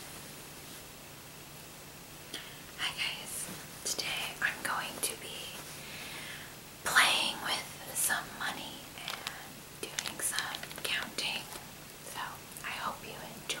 Hi guys, today I'm going to be playing with some money and doing some counting, so I hope you enjoy.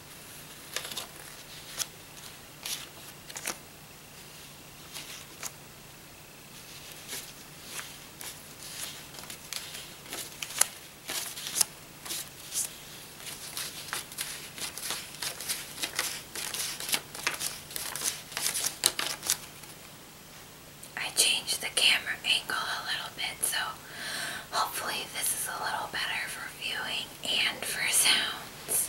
I changed the camera angle a little bit so hopefully this is a little better for viewing and for sounds.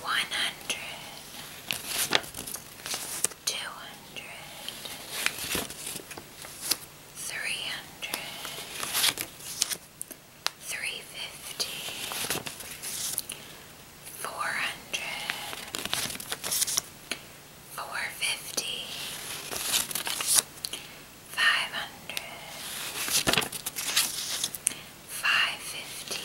One hundred two hundred, three hundred, three fifty, four hundred, four fifty, five hundred, five fifty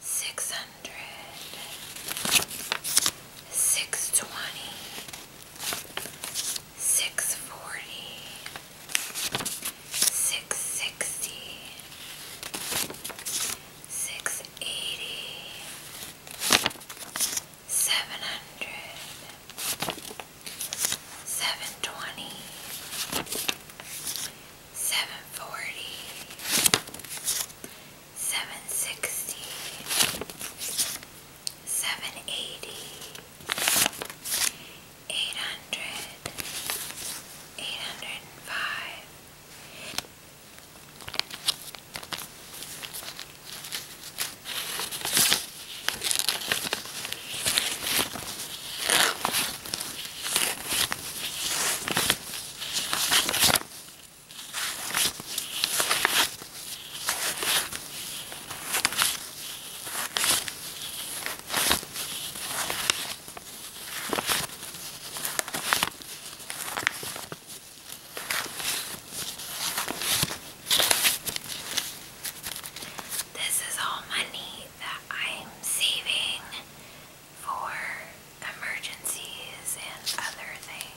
six hundred, six twenty, six forty, six sixty, six eighty, seven hundred, seven twenty seven forty, seven sixty, seven eighty, eight hundred, eight hundred and five. This is all money that I'm saving for emergencies and other things.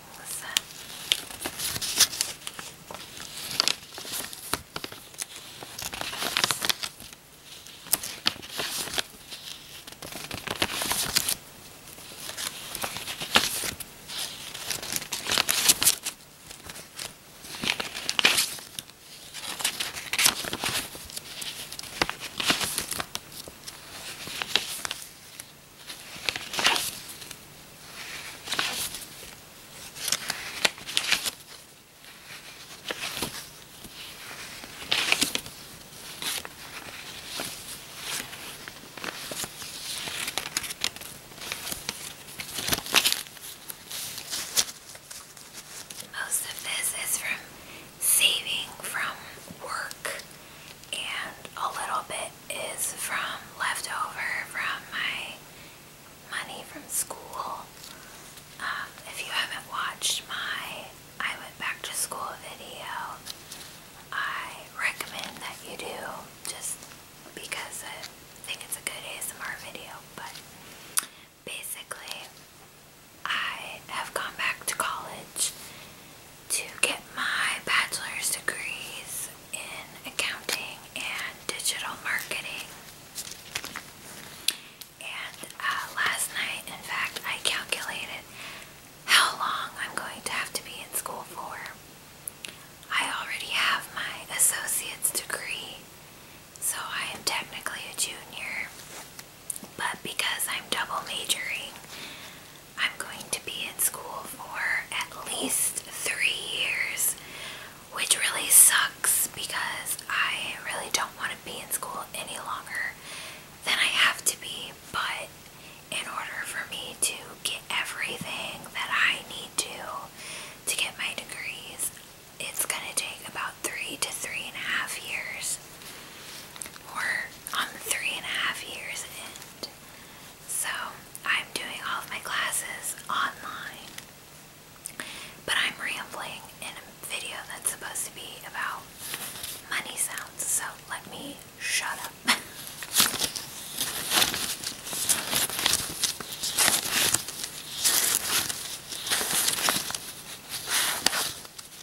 Most of this is from saving from work and a little bit is from leftover from my money from school. Um, if you haven't watched my I went back to school video, I recommend that you do just because I think it's a good ASMR video. But basically, I have gone back to college to get my bachelor's degrees in accounting and digital marketing. And uh, last night, in fact, I calculated how long I'm going to have to be in school for. I already have my associate's degree, so I am technically a junior. But because I'm double majoring, I'm going to be in school for at least three years, which really sucks because I really don't want to be in school any longer than I have to be. But in order for me to get everything that I need to to get my degrees, it's going to take about three to three and a half years we on three and a half years end. So I'm doing all of my classes online. But I'm rambling in a video that's supposed to be about money sounds. So let me shut up.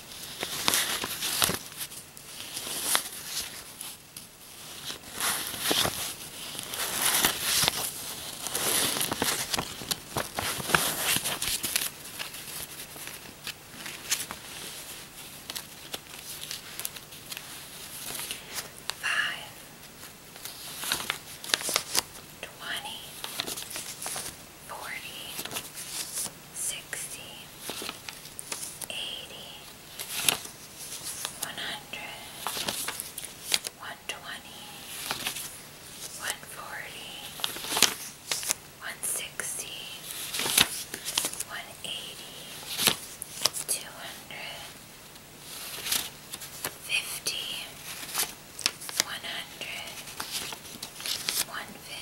Five, twenty, 40, 60, 80, 100, 120, 160, 180, 200, 50, 100,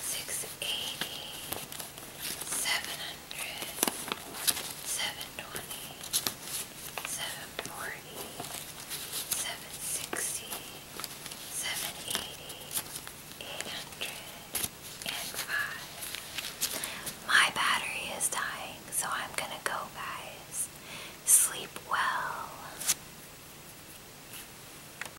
six eighty, seven hundred, seven twenty, seven forty, seven sixty, seven eighty, eight hundred, and five. My battery is dying, so I'm gonna go, guys. Sleep well.